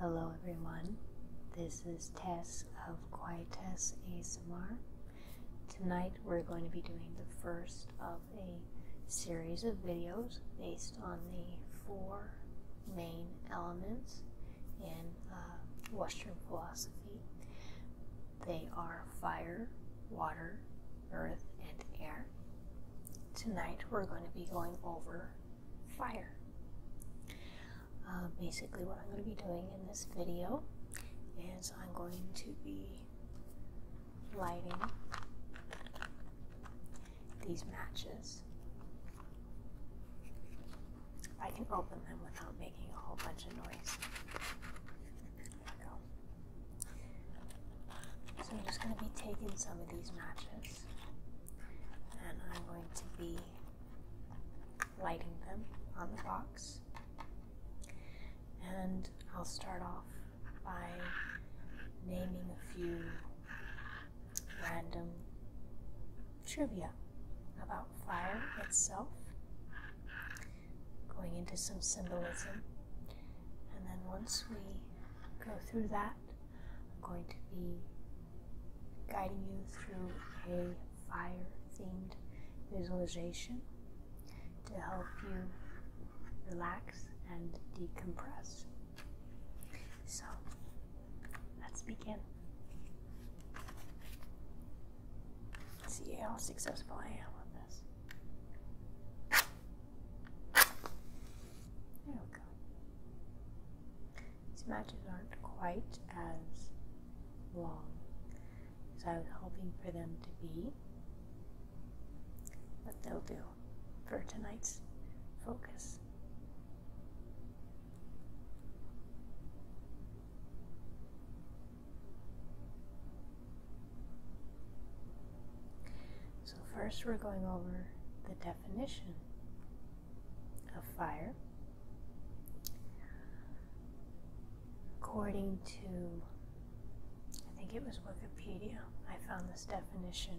Hello everyone, this is Tess of Quiet Tess ASMR. Tonight we're going to be doing the first of a series of videos based on the four main elements in uh, Western philosophy. They are fire, water, earth, and air. Tonight we're going to be going over fire. Uh, basically, what I'm going to be doing in this video is I'm going to be lighting these matches. I can open them without making a whole bunch of noise. There we go. So I'm just going to be taking some of these matches and I'm going to be lighting them on the box. And I'll start off by naming a few random trivia about fire itself, going into some symbolism. And then once we go through that, I'm going to be guiding you through a fire themed visualization to help you relax and decompress. So let's begin. see how successful I am with this. There we go. These matches aren't quite as long as I was hoping for them to be, but they'll do for tonight's focus. So, first, we're going over the definition of fire according to I think it was Wikipedia. I found this definition,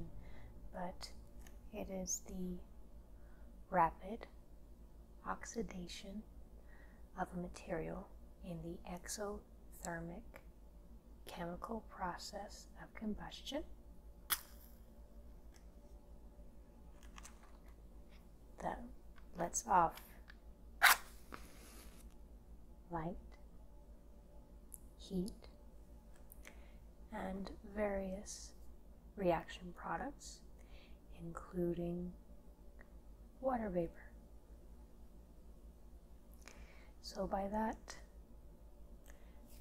but it is the rapid oxidation of a material in the exothermic chemical process of combustion that lets off light, heat, and various reaction products, including water vapor. So, by that,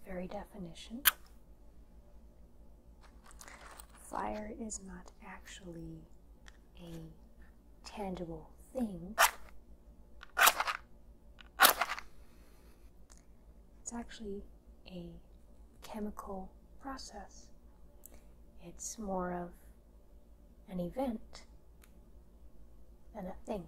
very definition. Fire is not actually a tangible thing, it's actually a chemical process. It's more of an event than a thing.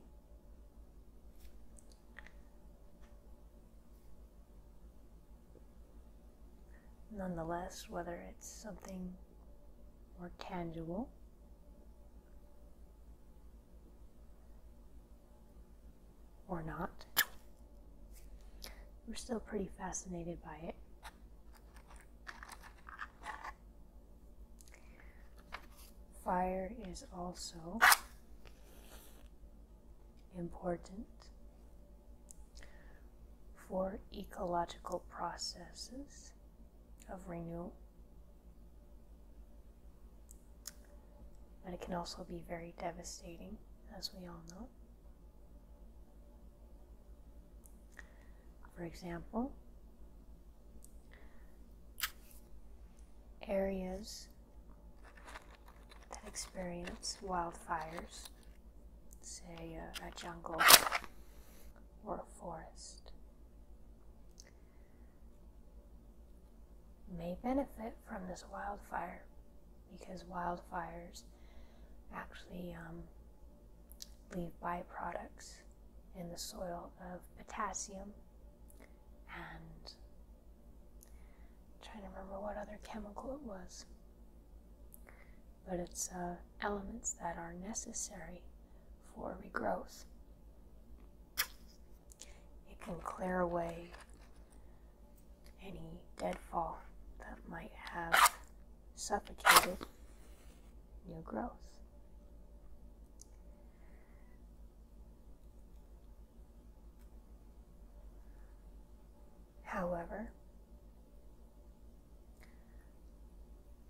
Nonetheless, whether it's something more tangible or not, we're still pretty fascinated by it. Fire is also important for ecological processes of renewal. But it can also be very devastating, as we all know. For example, areas that experience wildfires, say a, jungle or a forest, may benefit from this wildfire because wildfires actually um, leave byproducts in the soil of potassium and I'm trying to remember what other chemical it was. But it's uh, elements that are necessary for regrowth. It can clear away any deadfall that might have suffocated new growth. However,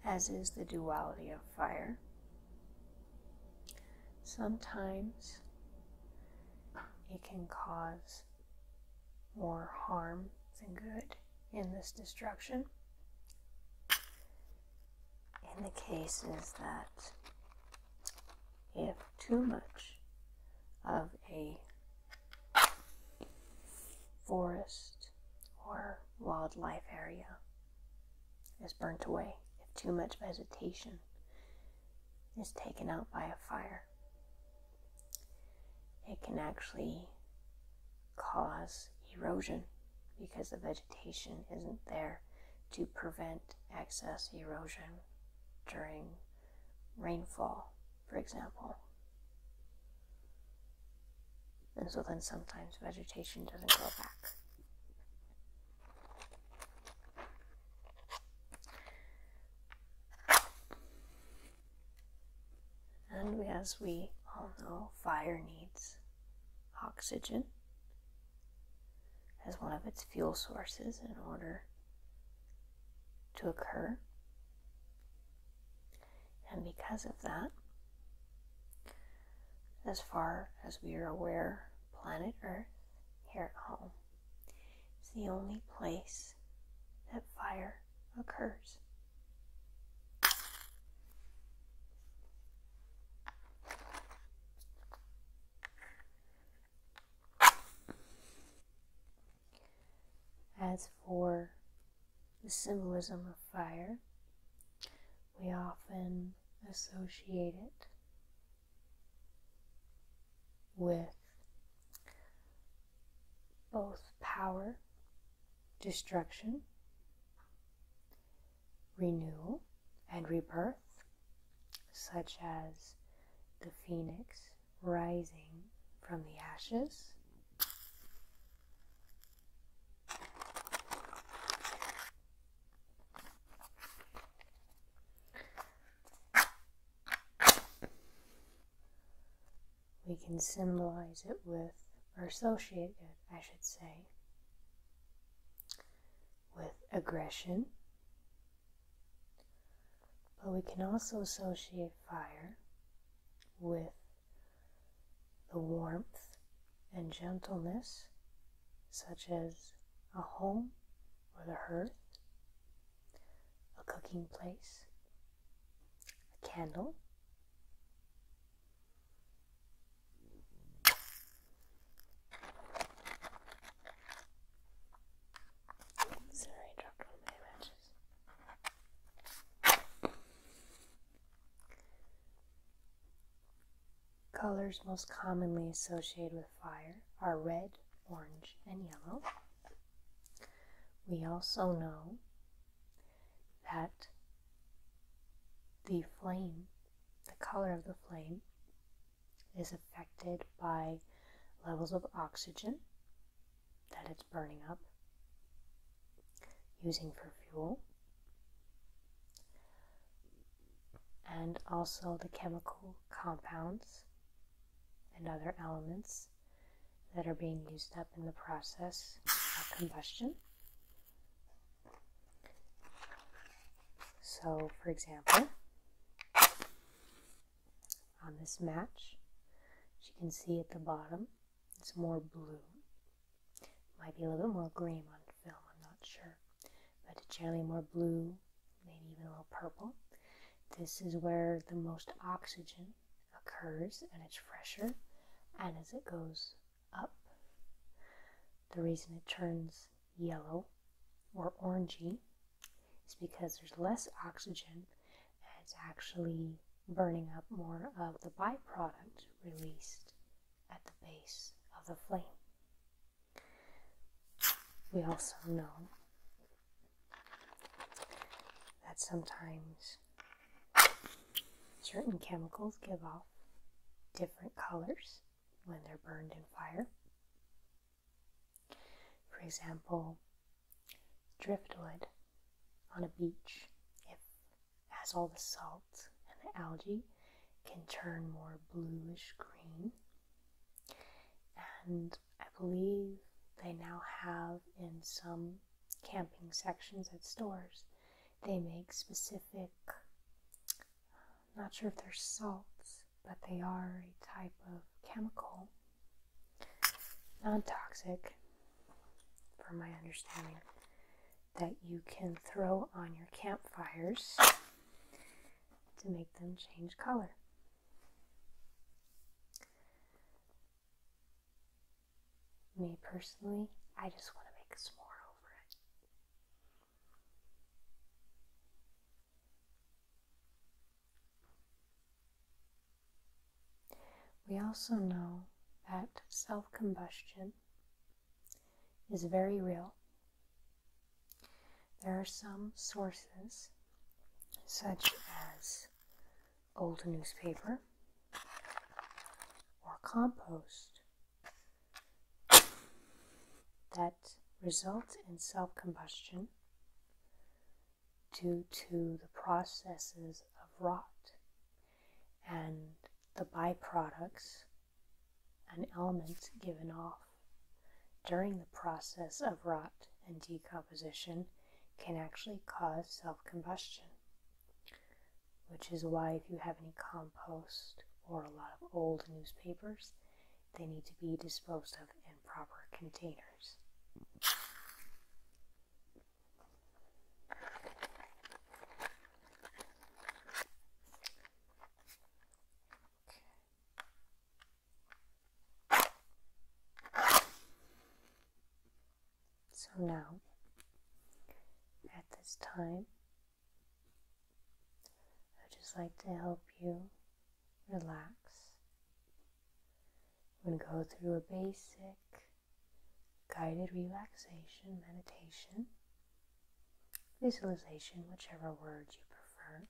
as is the duality of fire, sometimes it can cause more harm than good in this destruction. In the cases that if too much of a forest or wildlife area is burnt away, if too much vegetation is taken out by a fire, it can actually cause erosion because the vegetation isn't there to prevent excess erosion during rainfall, for example. And so then sometimes vegetation doesn't grow back. And as we all know, fire needs oxygen as one of its fuel sources in order to occur. And because of that, as far as we are aware, planet Earth here at home is the only place that fire occurs. As for the symbolism of fire, we often associate it with both power, destruction, renewal, and rebirth, such as the phoenix rising from the ashes. We can symbolize it with, or associate it, I should say, with aggression but we can also associate fire with the warmth and gentleness, such as a home or the hearth, a cooking place, a candle. Sorry, dropped my matches. Colors most commonly associated with fire are red, orange, and yellow. We also know that the flame, the color of the flame, is affected by levels of oxygen that it's burning up, using for fuel, and also the chemical compounds and other elements that are being used up in the process of combustion. So, for example, on this match, as you can see at the bottom, it's more blue. Might be a little bit more green on film, I'm not sure. But it's generally more blue, maybe even a little purple. This is where the most oxygen occurs and it's fresher. And as it goes up, the reason it turns yellow or orangey it's because there's less oxygen and it's actually burning up more of the byproduct released at the base of the flame. We also know that sometimes certain chemicals give off different colors when they're burned in fire. For example, driftwood on a beach, if it has all the salt and the algae, can turn more bluish green. And I believe they now have in some camping sections at stores, they make specific, I'm not sure if they're salts, but they are a type of chemical non toxic, from my understanding, that you can throw on your campfires to make them change color. Me personally, I just want to make s'more over it. We also know that self combustion is very real. There are some sources, such as old newspaper or compost, that result in self combustion due to the processes of rot and the byproducts and elements given off during the process of rot and decomposition can actually cause self combustion, which is why if you have any compost or a lot of old newspapers, they need to be disposed of in proper containers. So now, at this time, I'd just like to help you relax we am going to go through a basic guided relaxation meditation, visualization, whichever word you prefer.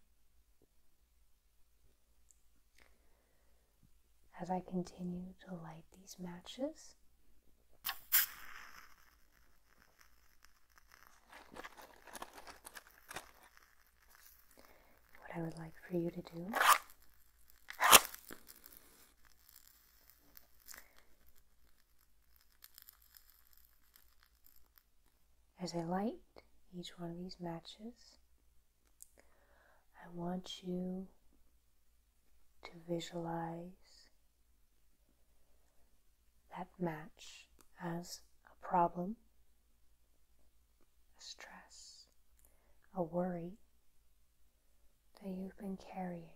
As I continue to light these matches, what I would like for you to do as I light each one of these matches, I want you to visualize that match as a problem a stress, a worry that you've been carrying.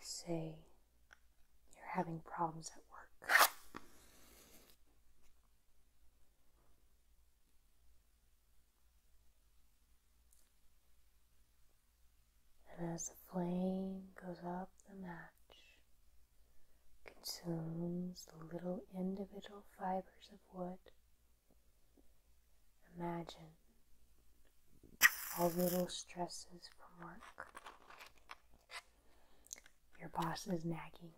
Say you're having problems at work and as the flame goes up the match, consumes the little individual fibers of wood. Imagine all the little stresses from work. Your boss is nagging.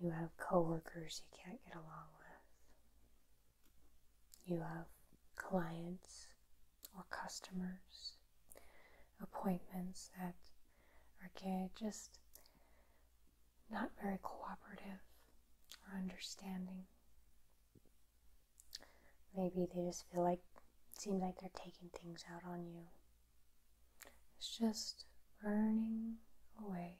You have coworkers you can't get along with. You have clients or customers, appointments that are just not very cooperative or understanding. Maybe they just feel like, seems like they're taking things out on you. It's just burning away.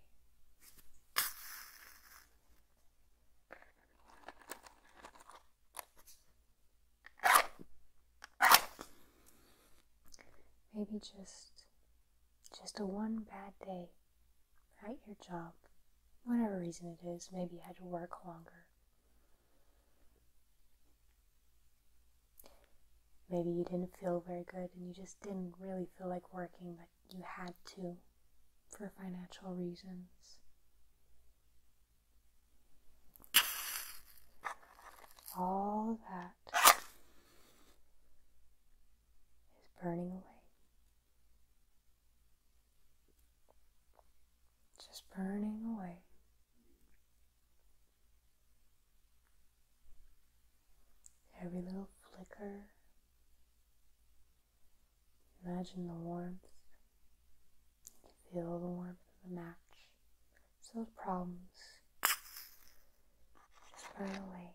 Maybe just just a one bad day at your job, whatever reason it is, maybe you had to work longer. Maybe you didn't feel very good and you just didn't really feel like working, but you had to for financial reasons. All that is burning away. Just burning away. Every little flicker, Imagine the warmth. Feel the warmth of the match. So those problems spray away.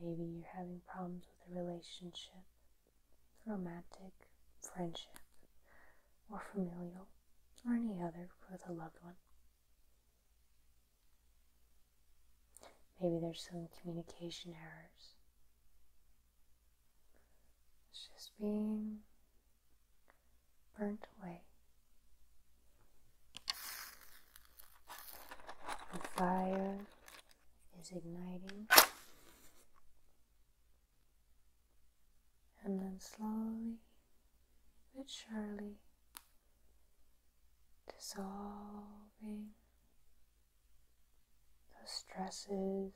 Maybe you're having problems with a relationship, romantic, friendship, or familial, or any other with a loved one. Maybe there's some communication errors. It's just being burnt away. The fire is igniting. And then slowly but surely dissolving those stresses,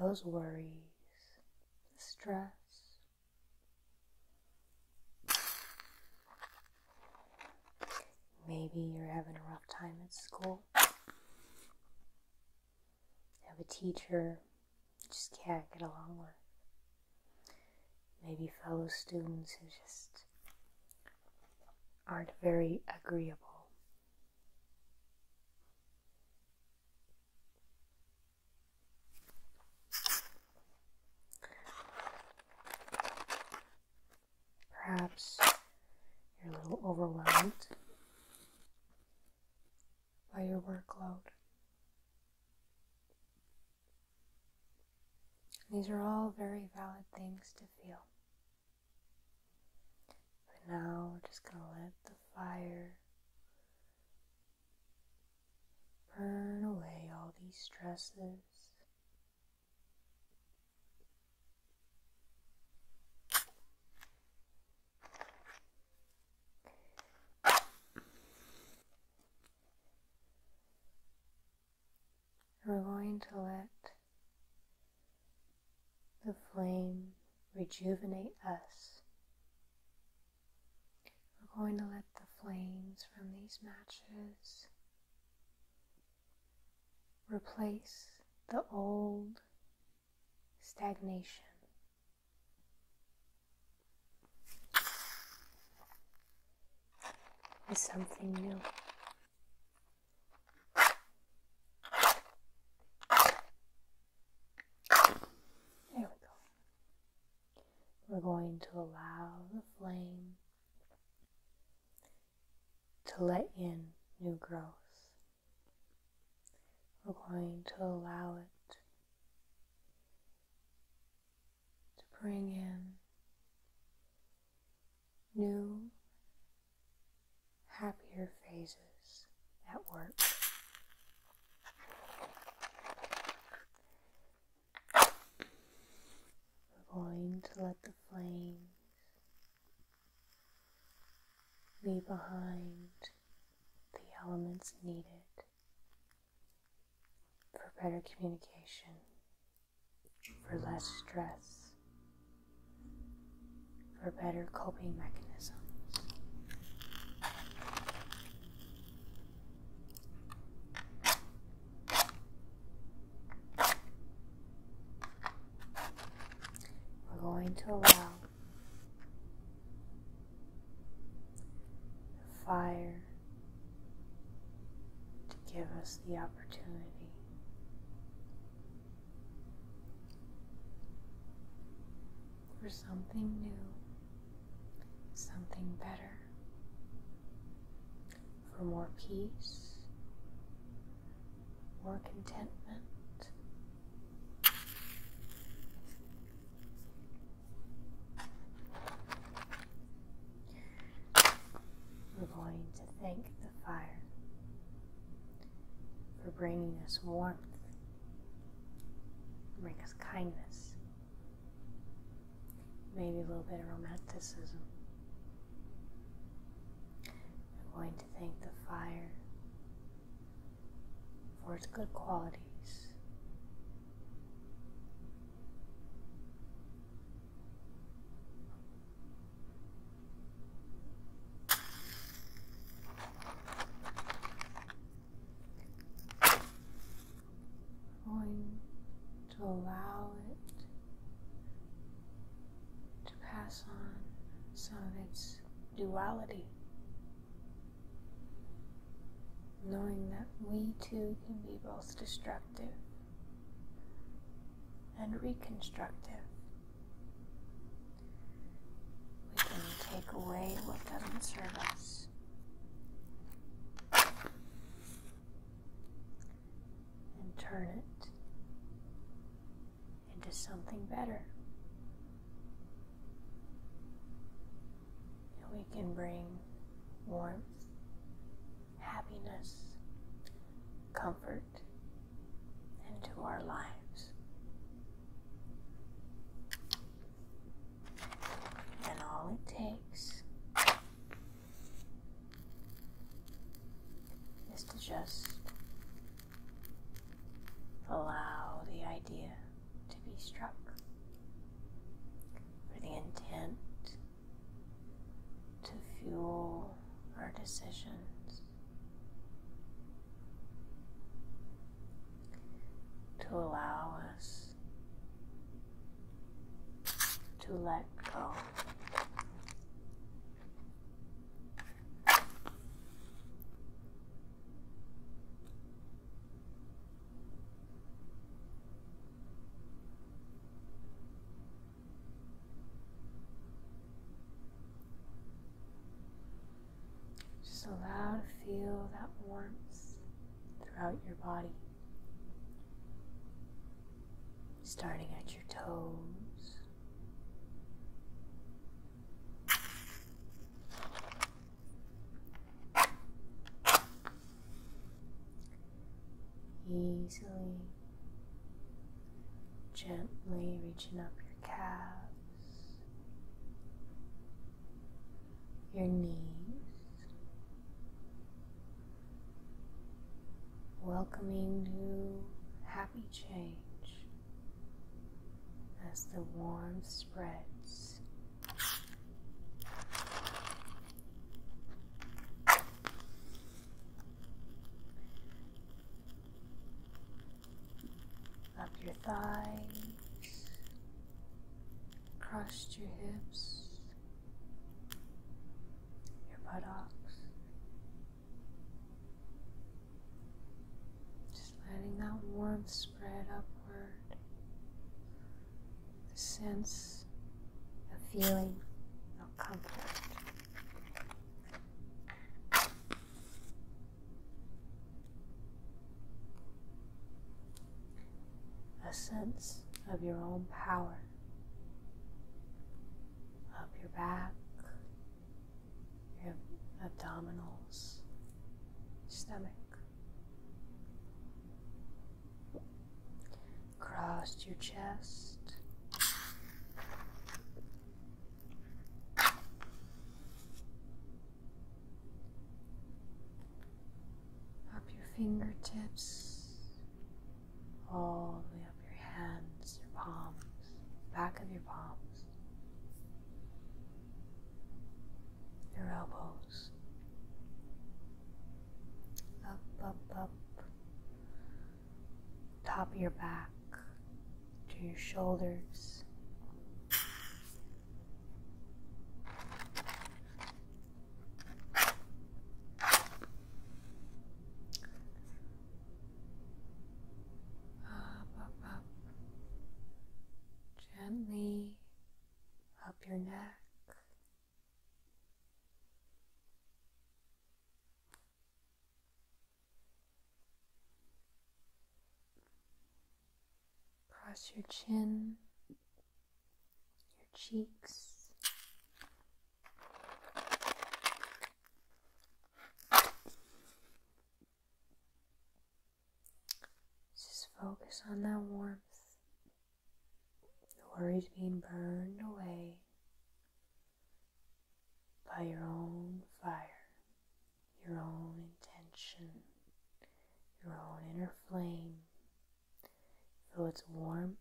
those worries, the stress. Maybe you're having a rough time at school. have a teacher you just can't get along with. Maybe fellow students who just aren't very agreeable. Perhaps you're a little overwhelmed by your workload. These are all very valid things to feel. For now, we're just going to let the fire burn away all these stresses we're going to let the flame rejuvenate us. We're going to let the flames from these matches replace the old stagnation. With something new. There we go. We're going to allow the flame to let in new growth. We're going to allow it to bring in new, happier phases at work. We're going to let the flames leave behind the elements needed for better communication for less stress, for better coping mechanisms. We're going to allow the fire to give us the opportunity opportunity. For something new, something better, for more peace, more contentment. We're going to thank the fire for bringing us warmth, bring us kindness, maybe a little bit of romanticism. I'm going to thank the fire for its good qualities going to allow it to pass on some of its duality, knowing that we too can be both destructive and reconstructive. We can take away what doesn't serve us. And turn it into something better. And we can bring warmth happiness, comfort into our lives. And all it takes is to just allow the idea to be struck for the intent to fuel our decisions to allow us to let go. Just allow to feel that warmth throughout your body, starting at your toes. Easily Gently reaching up your calves, your knees, welcoming new happy change as the warmth spreads up your thighs, across your hips, your buttocks. Just letting that warmth spread upward. The sense of feeling of comfort a sense of your own power up your back, your abdominals, stomach. across your chest up your fingertips, all the way up your hands, your palms, back of your palms, your elbows. Up, up, up, top of your back to your shoulders. Up, up, up. Gently up your neck, Cross your chin, your cheeks. Just focus on that warmth, the worries being burned away, by your own fire, your own intention, your own inner flame. Feel its warmth.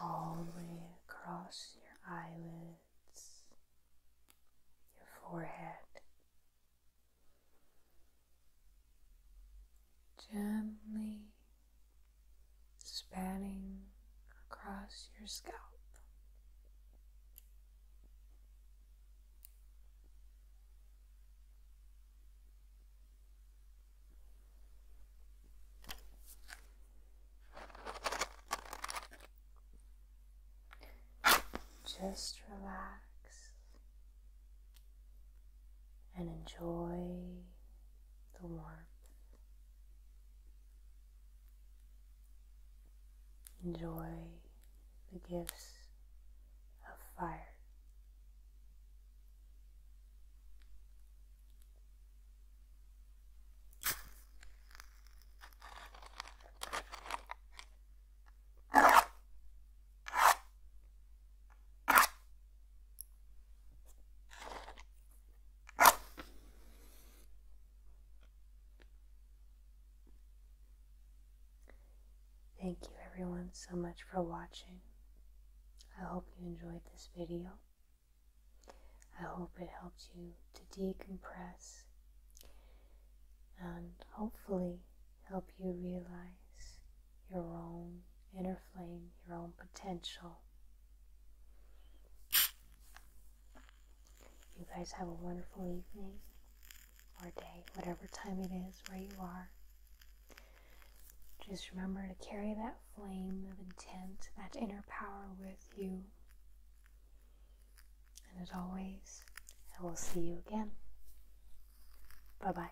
All the way across your eyelids, your forehead. Gently spanning across your scalp. Just relax and enjoy the warmth. Enjoy the gifts of fire. Thank you everyone so much for watching. I hope you enjoyed this video. I hope it helped you to decompress and hopefully help you realize your own inner flame, your own potential. You guys have a wonderful evening or day, whatever time it is where you are. Just remember to carry that flame of intent, that inner power with you. And as always, I will see you again. Bye bye.